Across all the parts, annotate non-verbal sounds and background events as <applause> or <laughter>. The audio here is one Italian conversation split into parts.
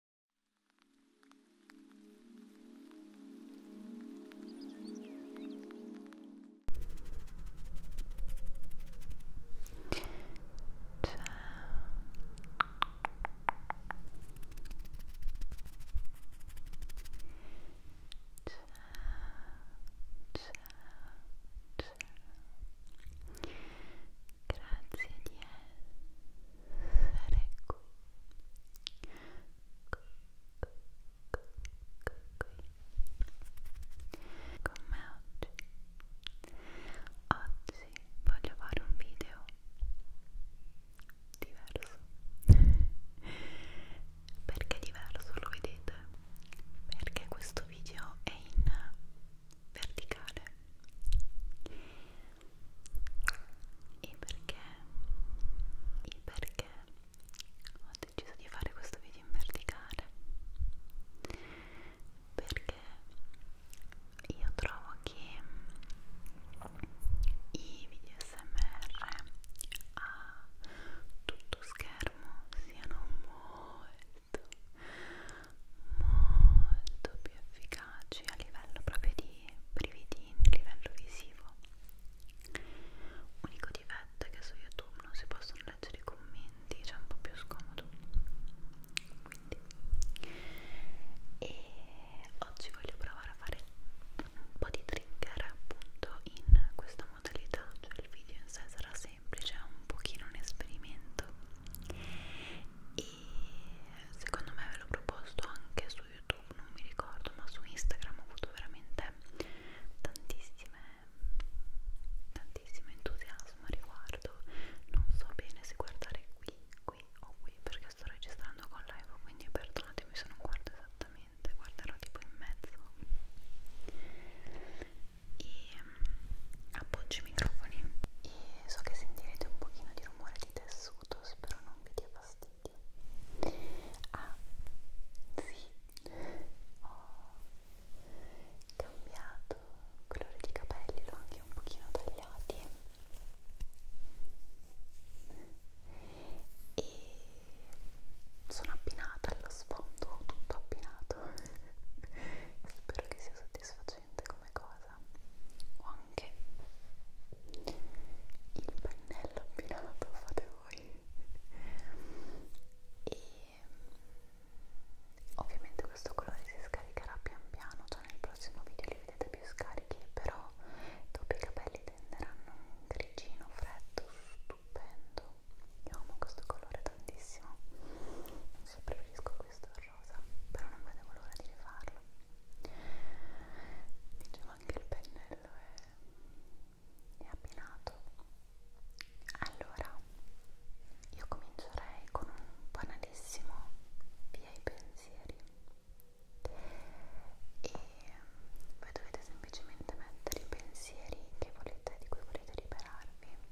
grazie di essere stare qui qui, qui, qui, qui con me oggi oggi voglio fare un video diverso perché diverso lo vedete perché questo video è in verticale e perché e perché ho deciso di fare questo video in verticale perché io trovo che i video smr a tutto schermo siano molto molto più efficaci a livello proprio di brividini, a livello visivo. Unico difetto è che su YouTube non si possono leggere i commenti, c'è cioè un po' più scomodo. Quindi. E oggi voglio provare a fare un po' di trigger appunto in questa modalità, cioè il video in sé sarà semplice, è un pochino un esperimento. E secondo me ve l'ho proposto anche su YouTube, non mi ricordo, ma su Instagram ho avuto veramente tantissime tantissimo entusiasmo a riguardo. Non so bene se guardare qui, qui o qui perché sto registrando con live, quindi perdonatemi se non guardo esattamente, guarderò tipo in mezzo. E mm, appoggio i microfoni e so che sentirete un pochino di rumore di tessuto, spero non vi dia fastidio. Ah, sì, ho cambiato colore di capelli, l'ho anche un pochino tagliati e sono appinata allo sfondo, tutto appinato. <laughs> Spero che sia soddisfatto avvolgente come cosa o anche il pennello abbinato fate voi e mm, ovviamente questo colore si scaricherà pian piano cioè nel prossimo video li vedete più scarichi però dopo i capelli tenderanno un grigino freddo stupendo io amo questo colore tantissimo non so preferisco questo rosa, però non vedevo l'ora di rifarlo. Dicevo anche il pennello è, è abbinato. Allora, io comincerei con un banalissimo via i pensieri e voi dovete semplicemente mettere i pensieri che volete, di cui volete liberarvi in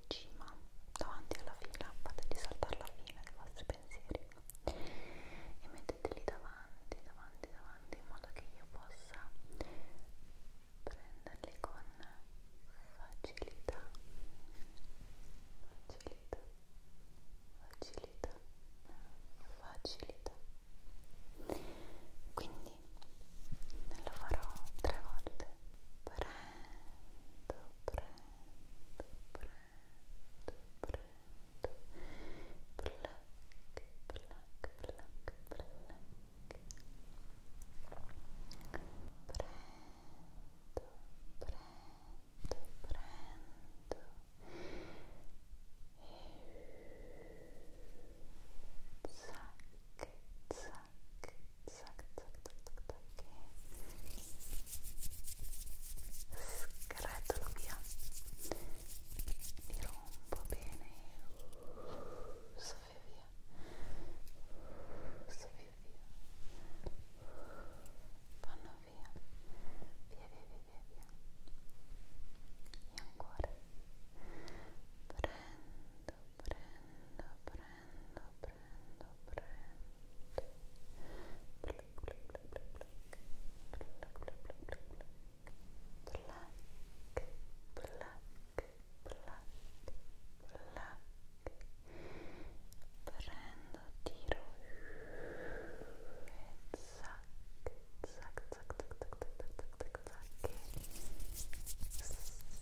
in cima, davanti alla fila, fategli saltare la fila dei vostri pensieri e metteteli davanti, davanti, davanti in modo che io possa prenderli con facilità, facilità, facilità, facilità. Quindi lo farò tre volte. Prendo, prendo zac, zac, tac, tac, tac, tac, tac e scretolo via mi rompo bene soffio via soffio via vanno via via via via via via e ancora prendo, prendo, prendo prendo, prendo, prendo. Black, black, black, black, black, black, black, black, black, black, black, black. Prendo, tiro e zac, zac, zac, zac, zac, zac, zac, zac, zac.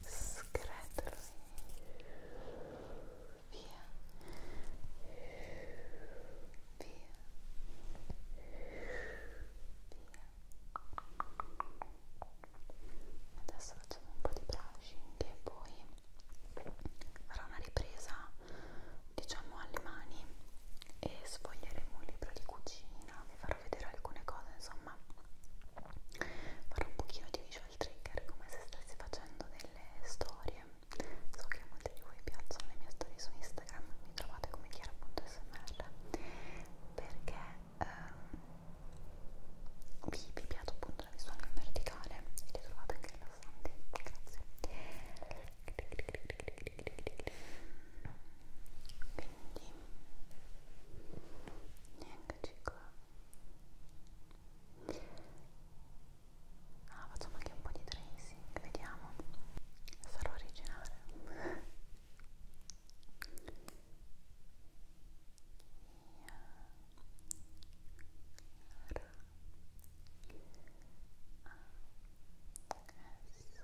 scretolo via via via adesso facciamo un po' di brushing e poi farò una ripresa diciamo alle mani e sfoglieremo un libro di cucina vi farò farò vedere alcune cose insomma farò un pochino di visual trigger come se stessi facendo delle storie so che a molti di voi piacciono le mie storie su Instagram mi trovate come chiara.smr perché ehm, vi, vi piace appunto la visuale in verticale e le trovate anche rilassanti grazie quindi niente eccoci qua ah facciamo anche un po' di tracing vediamo sarò originale R A S M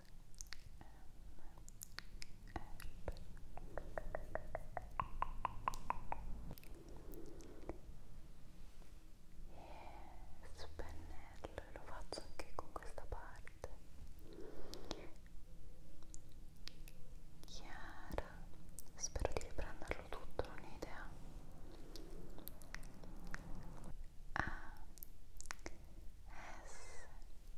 e spennello e lo faccio anche con questa parte chiara spero di riprenderlo tutto non ho idea a S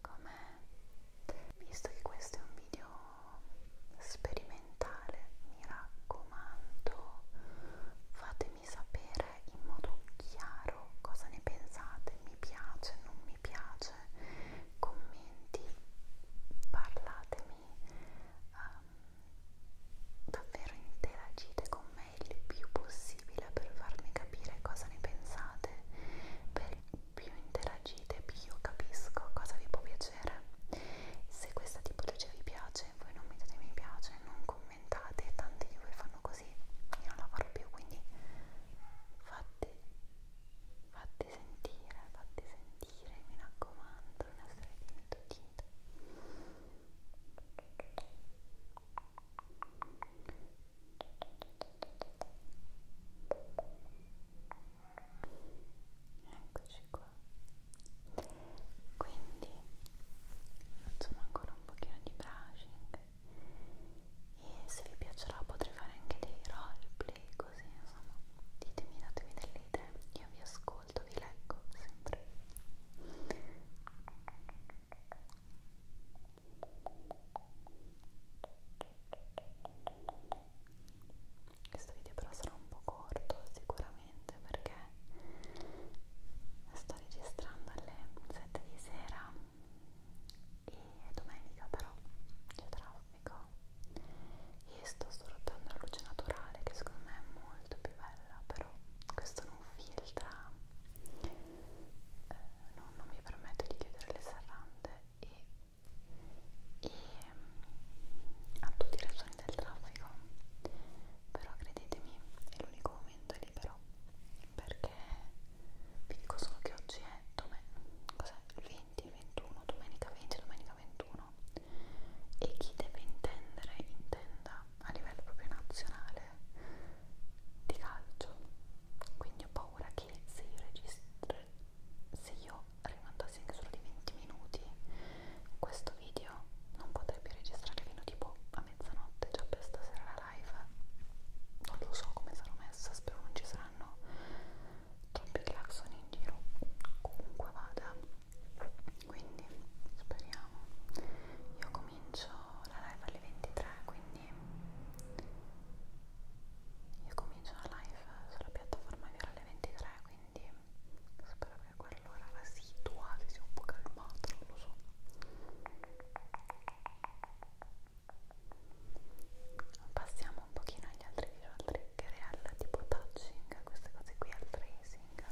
com'è. Visto che questo è un video sperimentale, mi raccomando, fatemi sapere in modo chiaro cosa ne pensate, mi piace, non mi piace, commenti, parlatemi, um, davvero interagite con me il più possibile per farmi capire cosa ne pensate. Per più interagite, più io capisco cosa vi può piacere. Se questa tipologia vi piace, voi non mettete mi piace, non commentate, tanti di voi fanno così, io non la farò più, quindi fate, fate sentire, fate sentire, mi raccomando, non essere dimenticati. Ecco, eccoci qua quindi facciamo ancora un pochino di brushing e se vi piacerà potrei fare anche dei roleplay così insomma ditemi datemi delle idee io vi ascolto vi leggo sempre ok questo video però sarà un po' corto sicuramente perché sto registrando alle 7 di sera e domenica però c'è traffico e sto sfruttando la luce naturale che secondo me è molto più bella però questo non filtra eh, non, non mi permette di chiudere le serrande e e mm, ha tutti i ragioni del traffico però credetemi è l'unico momento libero perché vi dico solo che oggi è domen cos'è? 20 21 domenica 20 domenica 21 e chi deve intendere intenda a livello proprio nazionale di calcio quindi ho paura che se io registro per se io rimandassi anche solo di 20 minuti questo video non potrei più registrare fino tipo a mezzanotte già per stasera la live non lo so come sarò messa spero non ci saranno troppi clacson in giro comunque vada quindi speriamo io comincio la live alle 23 quindi io comincio la live sulla piattaforma vera alle 23, quindi spero che a quell'ora la situa si sia un po' calmata, non lo so. Passiamo un pochino agli altri visual trigger e al tipo touching, queste cose qui, al tracing.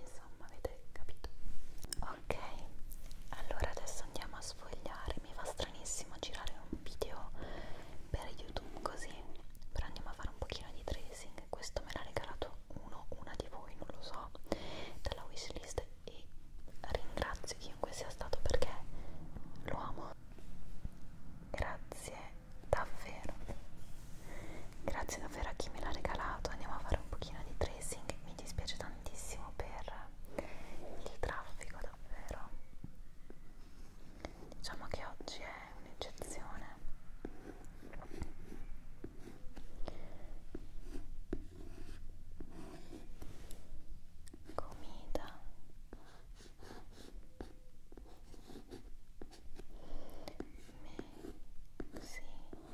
Insomma, avete capito. Ok, allora adesso andiamo a sfogliare mi fa stranissimo girare un video per youtube così però andiamo a fare un pochino di tracing questo me l'ha regalato uno una di voi non lo so dalla wishlist e ringrazio chiunque sia stato perché lo amo grazie davvero grazie davvero a chi me l'ha regalato andiamo a fare un pochino di tracing mi dispiace tantissimo per il traffico davvero diciamo che oggi è un'eccezione comida mexicana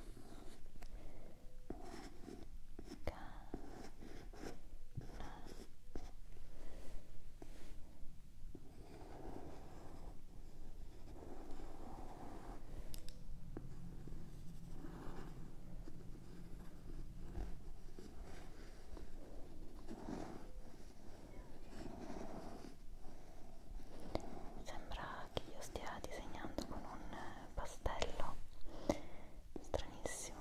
Sembra che io stia disegnando con un eh, pastello stranissimo.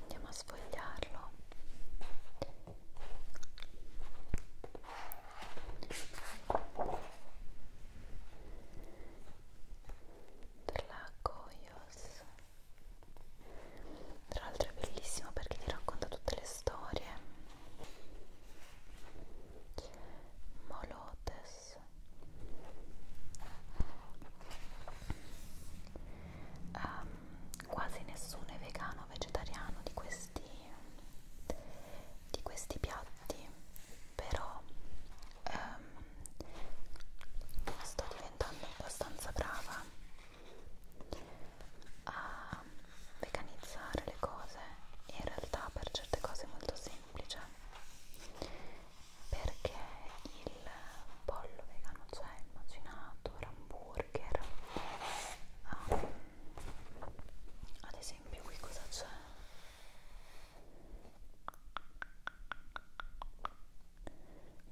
andiamo a sfogliarlo per la Goyos tra l'altro è bellissimo perché ti racconta tutte le storie Molotes um, quasi nessuno è vegano o vegetariano di questi, di questi piatti però um, sto diventando abbastanza brava a veganizzare le cose in realtà per certe cose è molto semplice perché il pollo vegano cioè il macinato, l'hamburger um, ad esempio qui cosa c'è?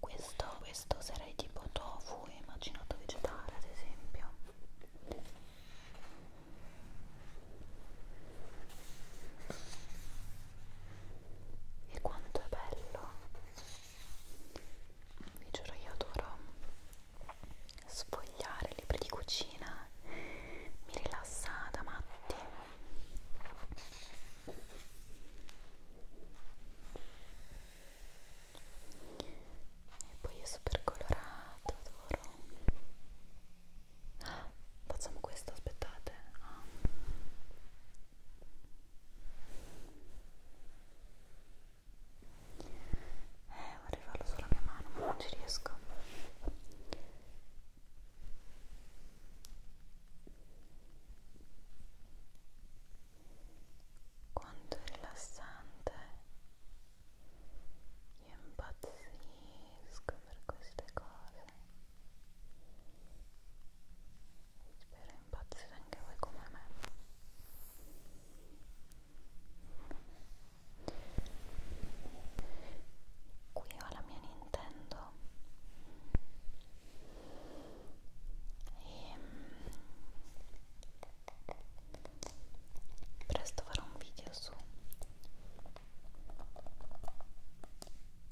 Questo, questo sarei tipo tofu e macinato vegetale ad esempio e quanto è bello! Vi giuro, io adoro sfogliare libri di cucina, mi rilassa da matti e poi è super colorato adoro ah, facciamo questo aspettate ah. eh vorrei farlo sulla mia mano ma non ci riesco quanto è rilassante io impazzisco per queste cose. Spero impazzite anche voi come me. Qui ho la mia Nintendo e ehm, presto farò un video su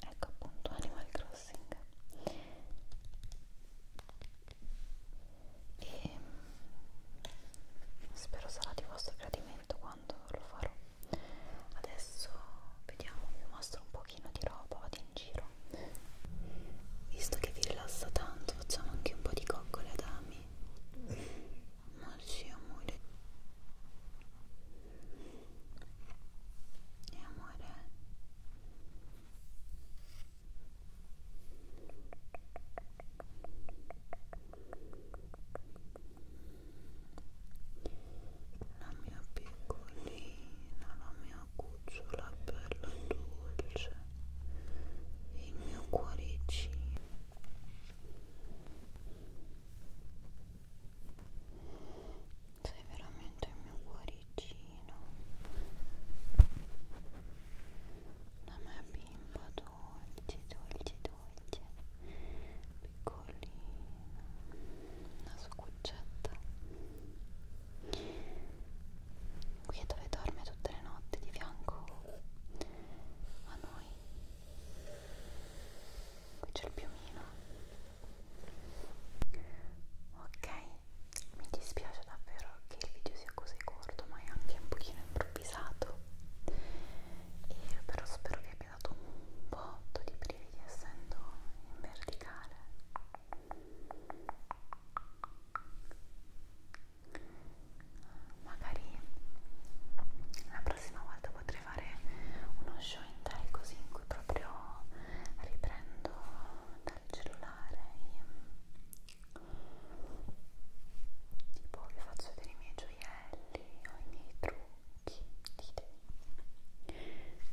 ecco appunto Animal Crossing e spero sarà di vostro gradimento quando lo farò adesso vediamo vi mostro un pochino di roba vado in giro visto che vi rilassa tanto facciamo anche un po' di coccole ad ami ma sì, amore. E amore. La mia piccolina, la mia cucciola bella dolce il mio cuoricino sei veramente il mio cuoricino la mia bimba dolce dolce dolce piccolina una sua cuccetta qui è dove dorme tutte le notti di fianco a noi qui c'è il piumino ok mi dispiace davvero che il video sia così corto ma è anche un pochino improvvisato e però spero che abbia dato un botto di brividi essendo in verticale magari la prossima volta potrei fare uno show in tell così in cui proprio riprendo dal cellulare e tipo vi faccio vedere i miei gioielli o i miei trucchi dite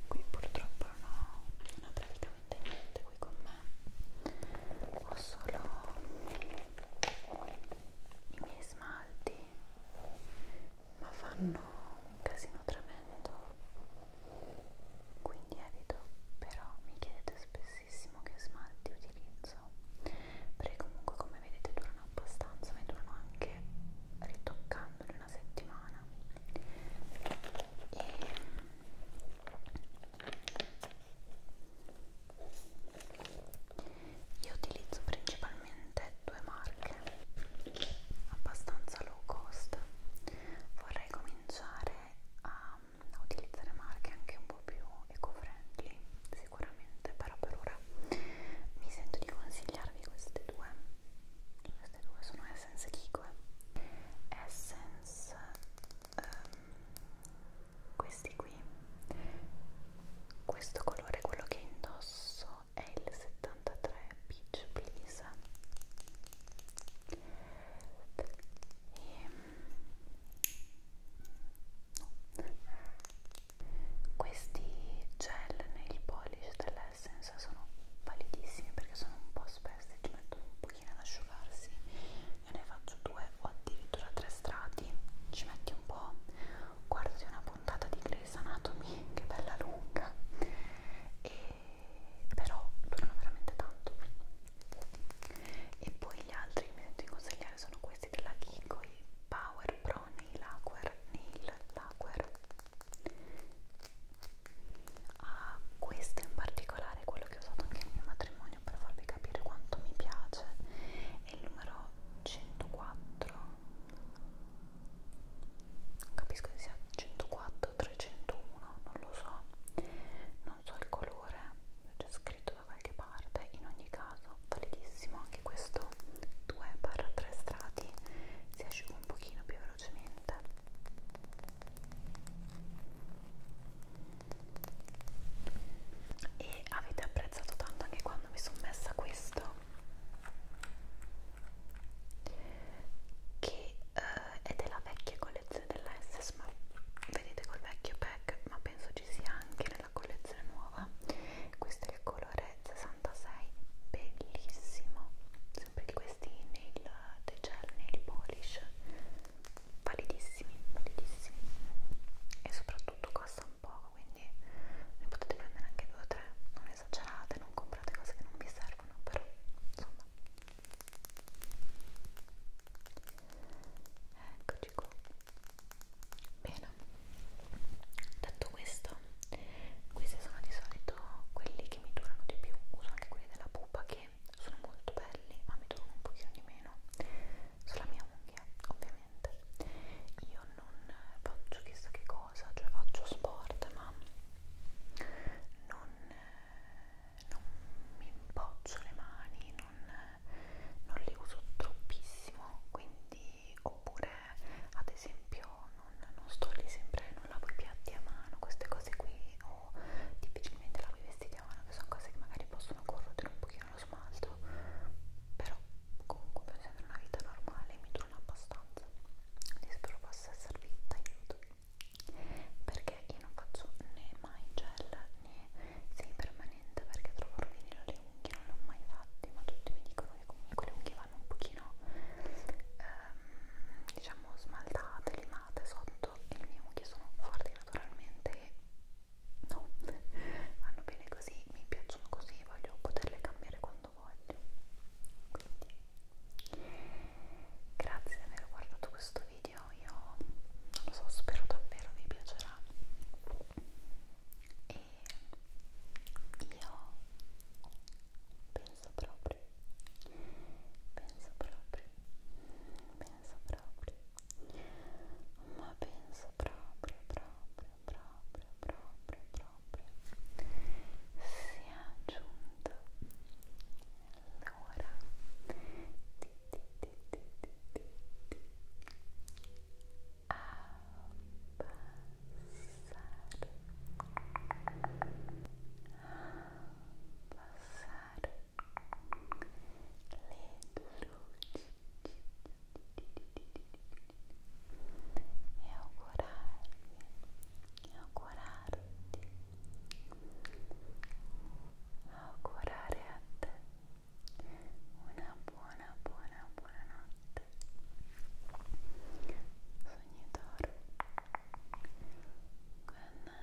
qui purtroppo non ho praticamente niente qui con me ho solo i miei smalti ma fanno un casino tremendo quindi evito però mi chiedete spessissimo che smalti utilizzo perché comunque come vedete durano abbastanza ma durano anche ritoccandoli una settimana e io utilizzo principalmente due marche abbastanza low cost. Vorrei cominciare a utilizzare marche anche un po' più eco-friendly, sicuramente, però per ora mi sento di consigliarvi queste due. Queste due sono Essence Kiko Essence um, questi qui questo colore quello che indosso è il 73 peach please e, no. questi gel nail polish dell'essence sono validissimi perché sono un po' spessi ci metto un pochino ad asciugarsi io ne faccio due o addirittura tre strati ci metti un po' guardi una puntata di Grey's Anatomy che bella lunga e però durano veramente tanto e poi gli altri che mi sento di consigliare sono questi della Kiko i Power Pro Nail Lacquer Nail Lacquer a ah, questo in particolare quello che ho usato anche nel mio matrimonio patrimonio per farvi capire quanto mi piace è il numero 104 non capisco se sia 104 301 non lo so non so il colore c'è scritto da qualche parte in ogni caso validissimo anche questo 2 barra 3 strati si asciuga un pochino più velocemente e avete apprezzato tanto anche quando mi sono messa questo che eh, è della vecchia collezione della SS ma vedete col vecchio pack ma penso ci sia anche nella collezione nuova questo è il colore 66 bellissimo sempre di questi nail, dei gel nail polish validissimi, validissimi e soprattutto costa un poco quindi ne potete prendere anche due o tre non esagerate, non comprate cose che non vi servono però insomma eccoci qua bene detto questo questi sono di solito quelli che mi durano di più uso anche quelli della pupa che sono molto belli ma mi trovano un pochino di meno sulla mia unghia ovviamente io non faccio chissà che cosa cioè faccio sport ma non, non mi impoccio le mani non, non le uso troppissimo quindi oppure ad esempio non, non sto lì sempre non lavo i piatti a mano queste cose qui o o difficilmente lavi i vestiti a mano che sono cose che magari possono corrodere un pochino lo smalto però comunque per sempre una vita normale mi durano abbastanza quindi spero possa esservi d'aiuto perché io non faccio né mai gel né semi permanente perché trovo rovinare le unghie non l'ho mai fatti ma tutti mi dicono che comunque le unghie vanno un pochino ehm, diciamo smaltate, limate sotto e le mie unghie sono forti naturalmente e no, vanno bene così, mi piacciono così, voglio poterle cambiare quando voglio quindi grazie di aver guardato questo video, io non lo so, spero davvero vi piacerà e io penso proprio penso proprio penso proprio ma penso proprio, proprio, proprio, proprio, proprio sia giunto l'ora di, di, di, di, di, di, di abbassare, abbassare luci e augurarvi, e augurarti, augurare a te una buona, buona, buona notte sognatore, good night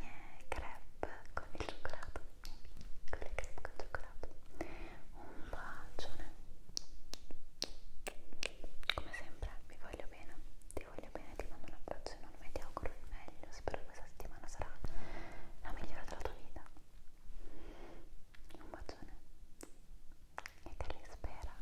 miei crepe con il cioccolato con le crepe con il cioccolato un bacione come sempre vi voglio bene ti voglio bene ti mando un abbraccio enorme ti auguro il meglio spero che questa settimana sarà la migliore della tua vita un bacione e te li spera